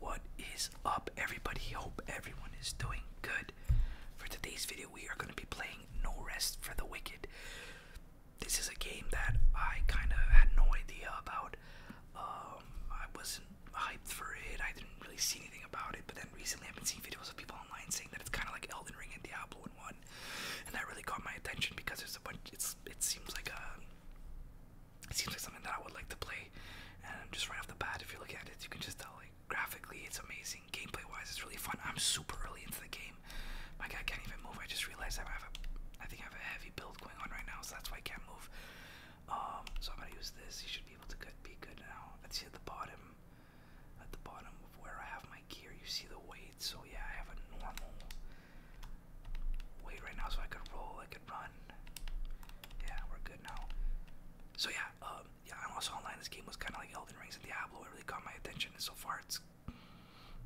What is up, everybody? Hope everyone is doing good. For today's video, we are going to be playing No Rest for the Wicked. This is a game that I kind of had no idea about. Um, I wasn't hyped for it. I didn't really see anything about it. But then recently, I've been seeing videos of people online saying that it's kind of like Elden Ring and Diablo in one, and that really caught my attention because there's a bunch. It's it seems like a it seems like something that I would like to play, and just right off the bat, if you look at it, you can just tell like graphically it's amazing. Gameplay wise, it's really fun. I'm super early into the game. My guy can't even move. I just realized I have a, I think I have a heavy build going on right now, so that's why I can't move. Um, so I'm gonna use this. You should be able to good, be good now. Let's see at the bottom, at the bottom of where I have my gear. You see the weight. So yeah, I have a normal weight right now, so I can roll I could run. Yeah, we're good now. So yeah, um, yeah, I'm also online. This game was kind of like Elden Rings and Diablo. It really caught my attention, and so far, it's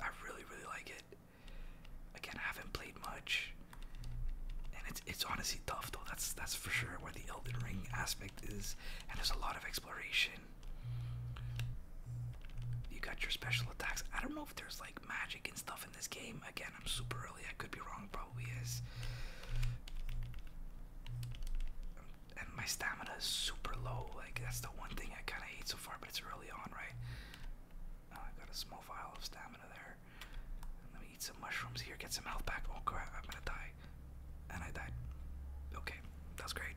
I really, really like it. Again, I haven't played much, and it's it's honestly tough though. That's that's for sure where the Elden Ring aspect is, and there's a lot of exploration. You got your special attacks. I don't know if there's like magic and stuff this game. Again, I'm super early. I could be wrong. Probably is. And my stamina is super low. Like that's the one thing I kind of hate so far. But it's early on, right? Oh, I got a small vial of stamina there. Let me eat some mushrooms here. Get some health back. Oh crap! I'm gonna die. And I died. Okay, that's great.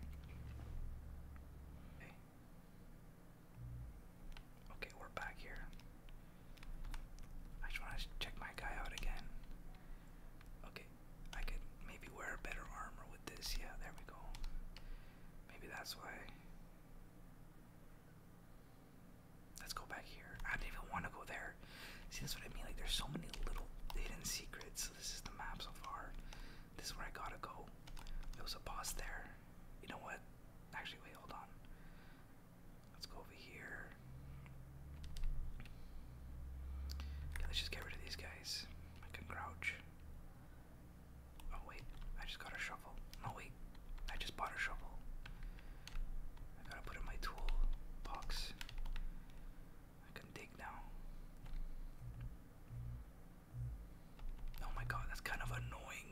Okay, we're back here. I just want to check my guy out again. Okay, I could maybe wear better armor with this. Yeah, there we go. Maybe that's why. Let's go back here. I didn't even want to go there. See, that's what I mean. Like, there's so many little hidden secrets. this is the map so far. This is where I gotta go. There was a boss there. You know what? Actually, wait, hold on. Let's go over here. let's just get rid of these guys. I can crouch. Oh wait, I just got a shovel. No wait, I just bought a shovel. I gotta put in my tool box. I can dig now. Oh my god, that's kind of annoying.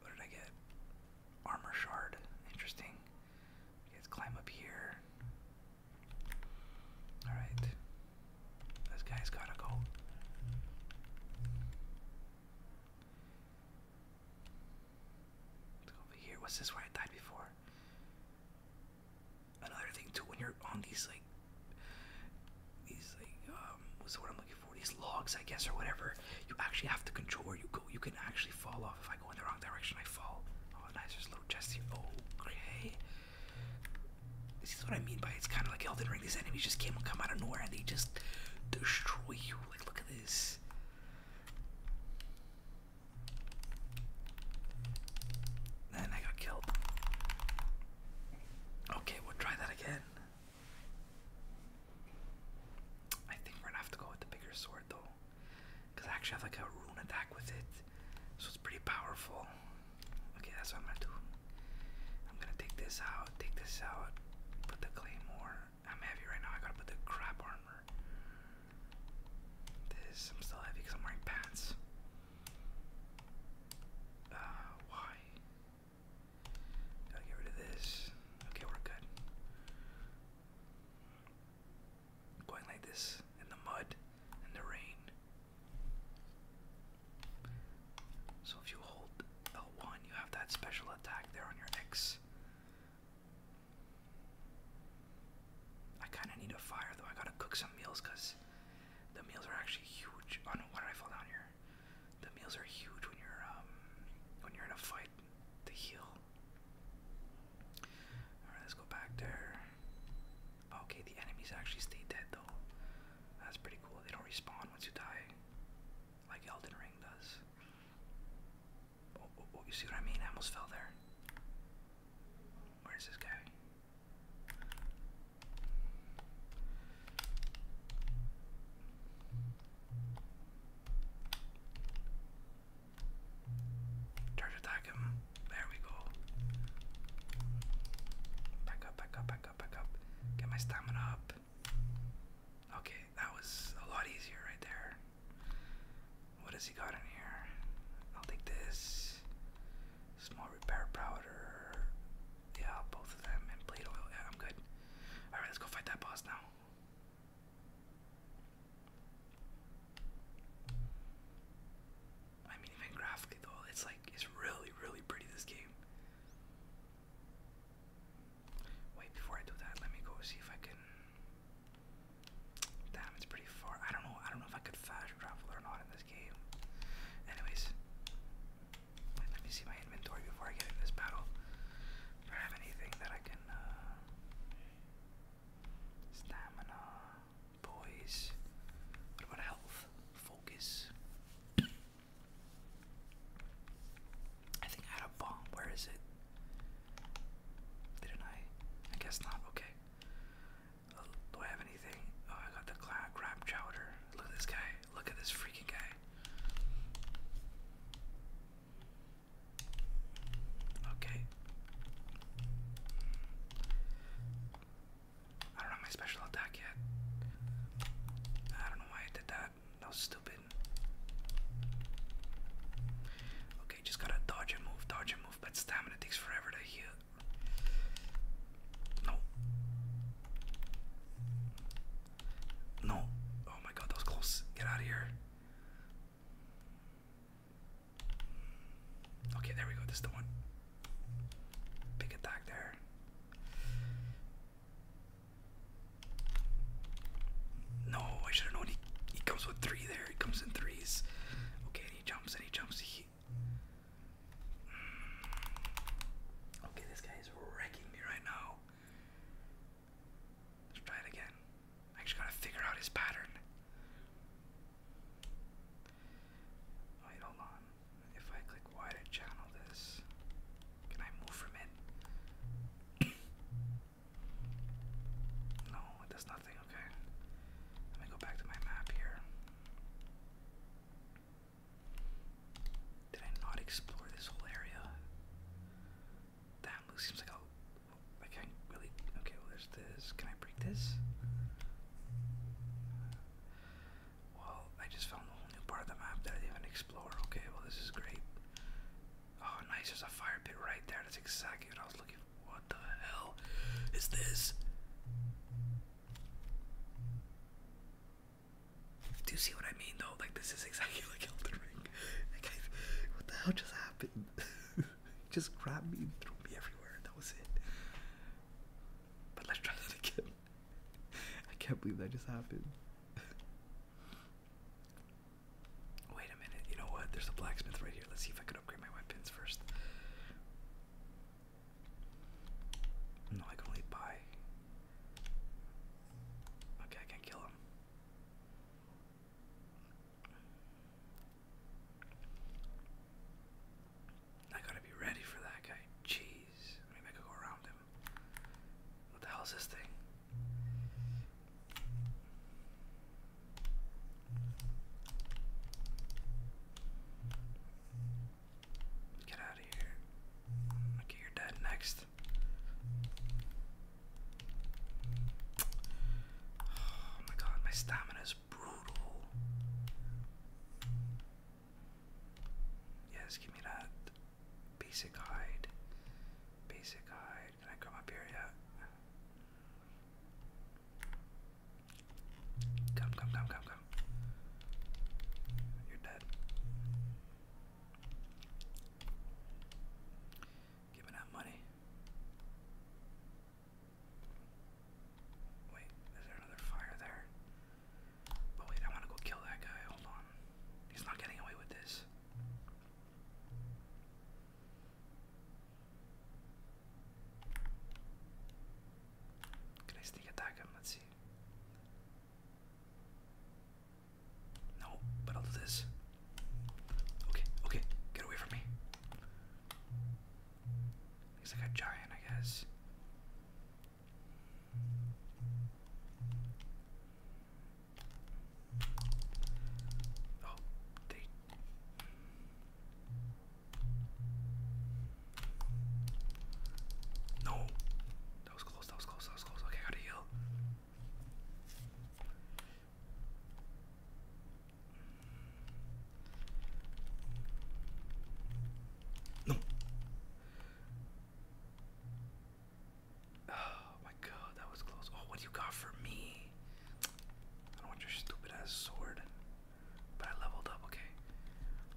What did I get? Armor shard. Interesting. You guys climb up here. Alright. This guy's gotta go. over here. What's this where I died before? Another thing too when you're on these like these like uh, um, what's I'm looking for? These logs, I guess, or whatever. You actually have to control where you go. You can actually fall off. If I go in the wrong direction, I fall. Oh, nice. There's little chest here. Okay. This is what I mean by it's kind of like Elden Ring. These enemies just came and come out of nowhere and they just destroy you. Like, look at this. Then I got killed. Okay, we'll try that again. I think we're gonna have to go with the bigger sword though. Because I actually have like a rune attack with it. So it's pretty powerful. Okay, that's what I'm gonna do. I'm gonna take this out, take this out, put the claymore. I'm heavy right now, I gotta put the crap armor. This, I'm still heavy because I'm wearing pants. Uh, why? Gotta get rid of this. Okay, we're good. Going like this in the mud and the rain. So if you hold L1, you have that special attack there on your X. I kind of need a fire though. I gotta cook some meals because the meals are actually huge. Oh no, why did I fall down here? The meals are huge when you're um when you're in a fight the heel. Alright, let's go back there. Okay, the enemies actually stay dead though. That's pretty cool. They don't respawn once you die, like Elden Ring does. Oh, oh, oh, you see what I mean? I almost fell there. Where's this guy? Charge attack him. There we go. Back up, back up, back up, back up. Get my stamina up. Okay, that was a lot easier right there. What has he got in here? I'll take this. Small repair powder. Yeah, both of them. And plate oil. Yeah, I'm good. Alright, let's go fight that boss now. I mean, even graphically though, it's like it's really, really pretty. This game. Wait, before I do that, let me go see if I can. Damn, it's pretty far. I don't know. I don't know if I could fast travel or not in this game. Anyways, let me see my inventory before I get into this battle. If I have anything that I can, uh, stamina, poise. What about health, focus? I think I had a bomb. Where is it? did I? I guess not. Okay. Uh, do I have anything? Oh, I got the crab chowder. Look at this guy. Look at this freaking guy. Okay. I don't have my special attack yet. I don't know why I did that. That stupid. Okay, just gotta dodge and move, dodge and move, but stamina takes forever to heal. No. No. Oh my god, that was close. Get out of here. Okay, there we go. This is the one. Big attack there. No, I should have known he, he comes with three there. He comes in threes. Okay, he jumps and he jumps. Okay, this guy is wrecking me right now. Let's try it again. I just gotta figure out his pattern. Wait, hold on. If I click Y channel this, can I move from it? no, it does nothing. Okay. Let me go back to my map here. Did I not explore this whole area? that loose. Seems like a. I really. Okay, well, there's this. Can I break this? Well, I just found a whole new part of the map that I didn't even explore. Okay, well, this is great. Oh, nice. There's a fire pit right there. That's exactly what I was looking for. What the hell is this? Do you see what I mean, though? Like, this is exactly like Elden Ring. what the hell just happened? just grabbed me and threw me everywhere. That was it. But let's try that again. I can't believe that just happened. Wait a minute. You know what? There's a blacksmith right here. Let's see if I can upgrade my weapons first. No, I can only buy. Okay, I can kill him. I gotta be ready for that guy. Jeez. Maybe I could go around him. What the hell is this thing? Get out of here. Okay, you're dead next. Oh my god, my stamina's brutal. Yes, give me that. Basic hide. Basic hide. Can I come up here yet? Come, come, come, come, come. You're dead giving out money. Wait, is there another fire there? But wait, I want to go kill that guy. Hold on. He's not getting away with this. Can I sneak attack him? Let's see. No, but I'll do this. Okay, okay, get away from me. He's like a giant, I guess. Oh, they. No! That was close, that was close, Okay, gotta heal. Oh my god, that was close. Oh, what do you got for me? I don't want your stupid ass sword. But I leveled up, okay.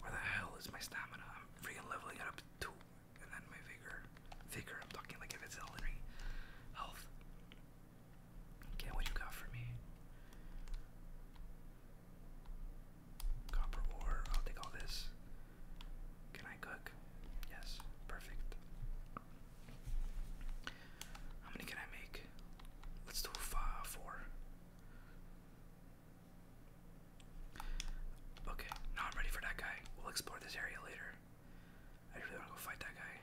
Where the hell is my stamina? I'm freaking leveling it up two and then my vigor vigor. I'm talking like if it's Elden health. Okay, what you got for me? Copper ore. I'll take all this. Can I cook? Yes. Perfect. How many can I make? Let's do four. Okay, now ready for that guy. We'll explore this area later. I really want to go fight that guy.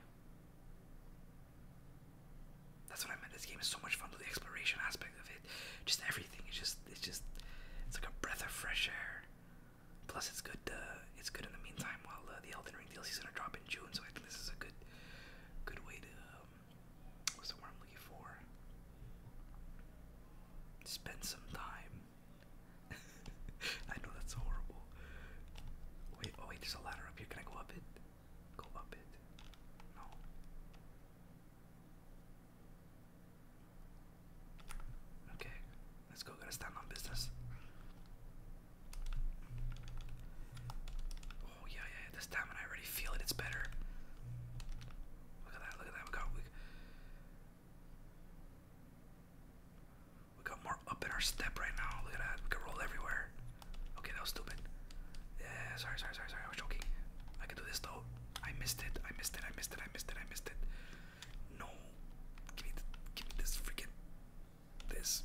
That's what I meant. This game is so much fun with the exploration aspect of it. Just everything. It's just it's just it's like a breath of fresh air. Plus, it's good. Uh, it's good in the meantime while uh, the Elden Ring DLC is gonna drop in June. So I think this is a good, good way to. Um, what's the word I'm looking for? Spend some time I know that's horrible. Wait, oh wait, there's a ladder up here. Can I go up it? Go up it. No. Okay, let's go. Gotta stand on business. Oh yeah, yeah. This time, and I already feel it. It's better. Look at that. Look at that. We got. We, we got more up in our step right now. Look at that. We can roll everywhere. Okay, that was stupid. Yeah, sorry, sorry, sorry, sorry. I was joking. I can do this though. I missed it. I missed it. I missed it. I missed it. I missed it. No. Give me, give me this freaking. This.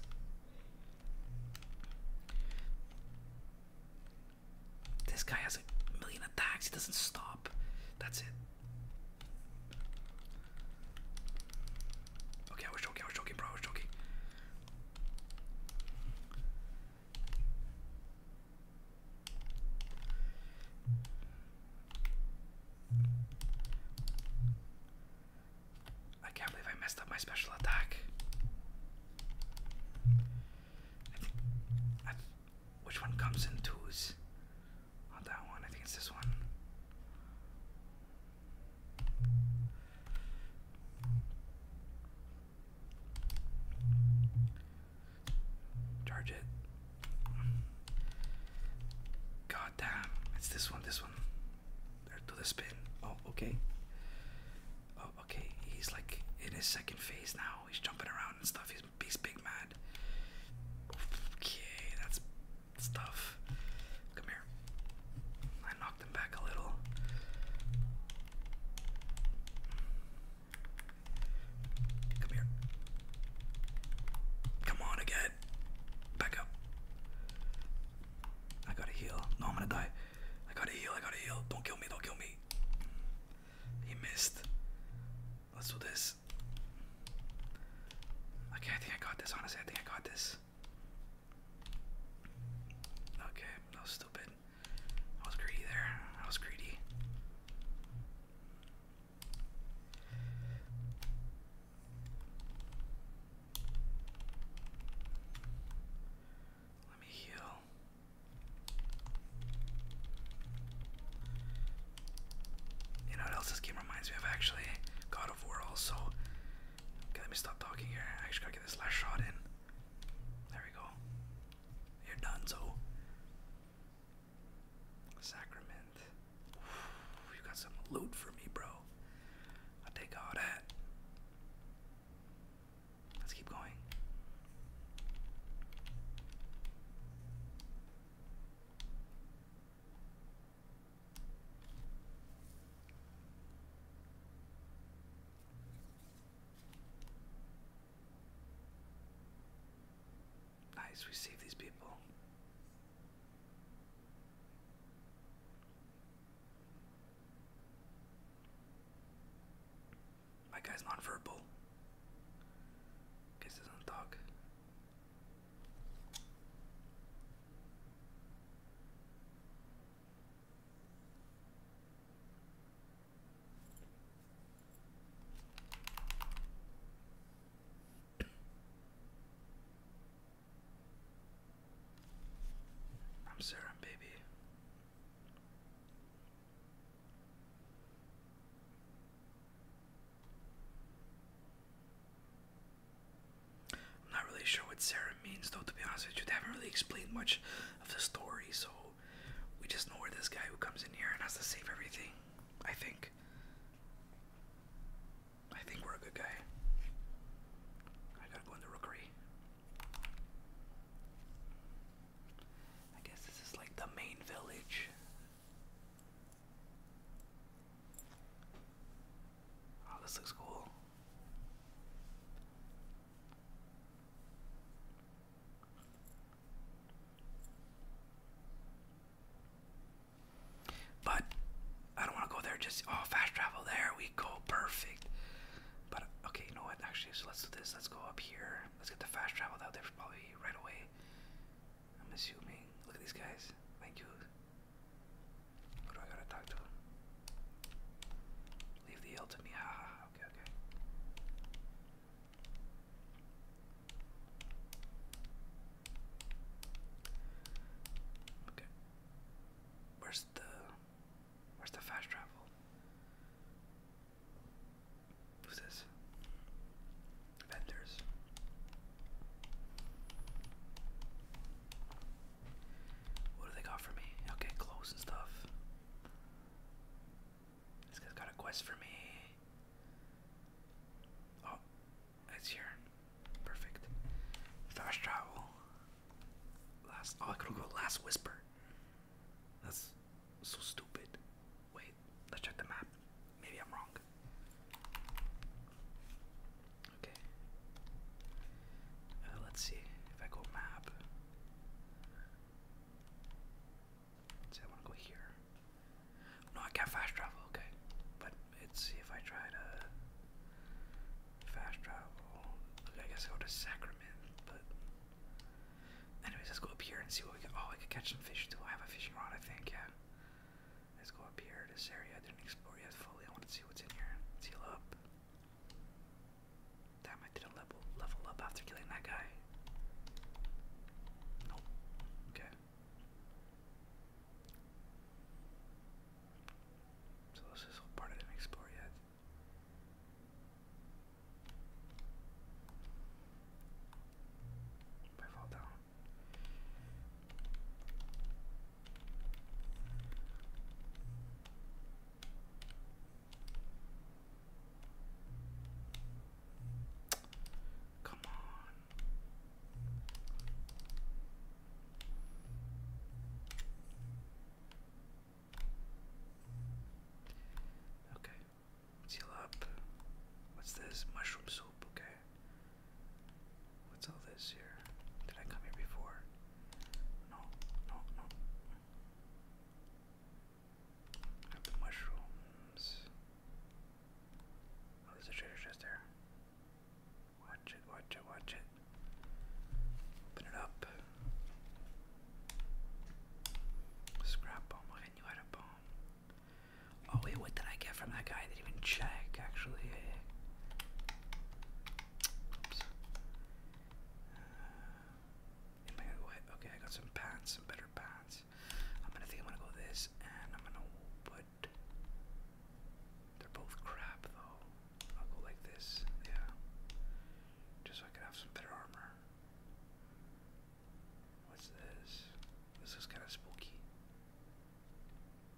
This guy has a million attacks. He doesn't stop. That's it. Okay, I was joking, I was joking, bro, I was joking. I can't believe I messed up my special attack. which one comes in twos? Not that one. I think it's this one. Charge it. God It's this one, this one. There, do the spin. Oh, okay. Oh, okay. He's like in his second phase now. He's jumping around and stuff. He's, he's big mad. Okay, that's stuff. Come here. I knocked him back a little. Come here. Come on again. Back up. I gotta heal. No, I'm gonna die. I gotta heal. I gotta heal. Don't kill me. Don't kill me. He missed. Let's do this. Okay, I think I got this. Honestly, I think I got this. Okay, that was stupid. I was greedy there. I was greedy. Let me heal. You know what else this game reminds me of actually? God of also. Okay, let me stop talking here. I just gotta get this last shot in. There we go. You're done, so. Sacrament. you got some loot for me, bro. i take all that. Let's keep going. Nice, we save these people. My guy's nonverbal. Guess doesn't talk. I'm sorry, baby. I'm not really sure what Sarah means, though, to be honest with you. They haven't really explained much of the story, so we just know we're this guy who comes in here and has to save everything. I think. I think we're a good guy. I gotta go in the rookery. I guess this is like the main village. Oh, this looks cool. But I don't want to go there. Just oh, fast travel. There we go. Perfect. But okay, you know what? Actually, so let's do this. Let's go up here. Let's get the fast travel out there probably right away. I'm assuming. Look at these guys. Thank you. Who do I gotta talk to? Leave the L to me. Okay, okay. Okay. Where's the where's the fast travel? Who's this? Vendors. What do they got for me? Okay, clothes and stuff. This guy's got a quest for me. Oh, it's here. Perfect. Fast travel. Last. Oh, I could go last whisper. That's so stupid. Wait, let's check the map. Maybe I'm wrong. Okay. Uh, let's see if I go map. let I want to go here. No, I can't fast travel. Okay, but let's see if I try to fast travel. I guess I go to Sacrament. But anyways, let's go up here and see what we can. Oh, I could catch some fish too. I have a fishing rod, I think. Yeah. Let's go up here. This area I didn't explore yet fully. I want to see what's in here. heal up. Damn, I didn't level, level up after killing that guy. Nope. Okay. So this whole part I didn't explore yet. If I fall down. Come on. Okay. let up. What's this? Mushroom soup, okay. What's all this here? Did I come here before? No, no, no. the mushrooms. Oh, there's treasure chest there. Watch it, watch it, watch it. Open it up. Scrap bomb, I knew I had a bomb. Oh wait, what did I get from that guy even check actually. Oops. Uh, I Okay, I got some pants, some better pants. I'm gonna think I'm gonna go this, and I'm gonna put. They're both crap though. I'll go like this, yeah. Just so I can have some better armor. What's this? This is kind of spooky.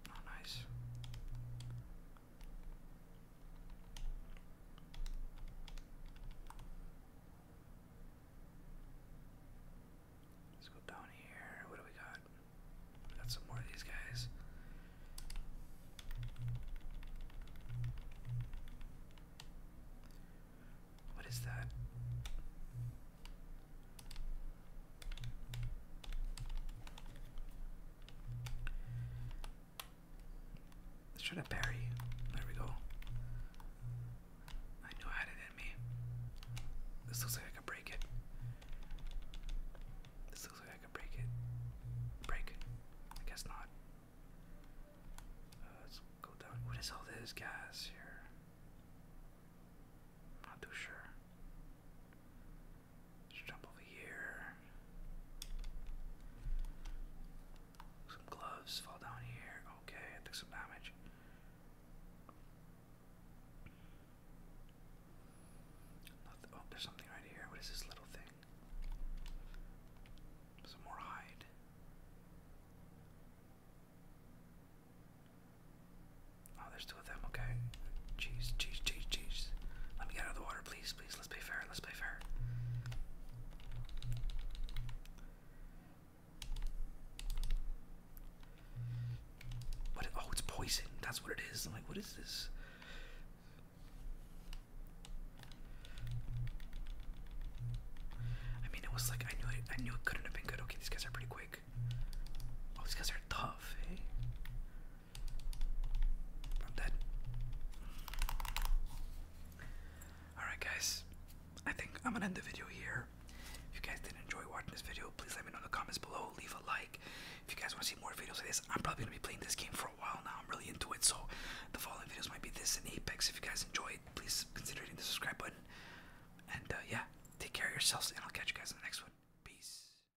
Oh, nice. Let's go down here. What do we got? got some more of these guys. What is that? Let's try to bury. There we go. I knew I had it in me. This looks like I could break it. This looks like I could break it. Break it. I guess not. Uh, let's go down. What is all this gas here? not too sure jump over here. Some gloves fall down here. Okay, I took some damage. Oh, there's something right here. What is this little thing? Some more hide. Oh, there's two of them. Okay. Jeez, jeez, jeez, jeez. Let me get out of the water, please, please. Let's play fair. Let's play fair. What? Oh, it's poison. That's what it is. I'm like, what is this? I mean, it was like I knew I knew it couldn't have been good. Okay, these guys are pretty quick. Oh, these guys are tough. Hey. Eh? I'm dead. Alright, guys. I think I'm gonna end the video here. If you guys did not enjoy watching this video, please let me know in the comments below. Leave a like. If you guys want to see more videos like this, I'm probably gonna be playing this game for a while now. I'm really into it, so the following videos might be this and Apex. If you guys enjoyed, please consider hitting the subscribe button. And uh, yeah, take care of yourselves, and I'll catch you guys in the next one. Peace.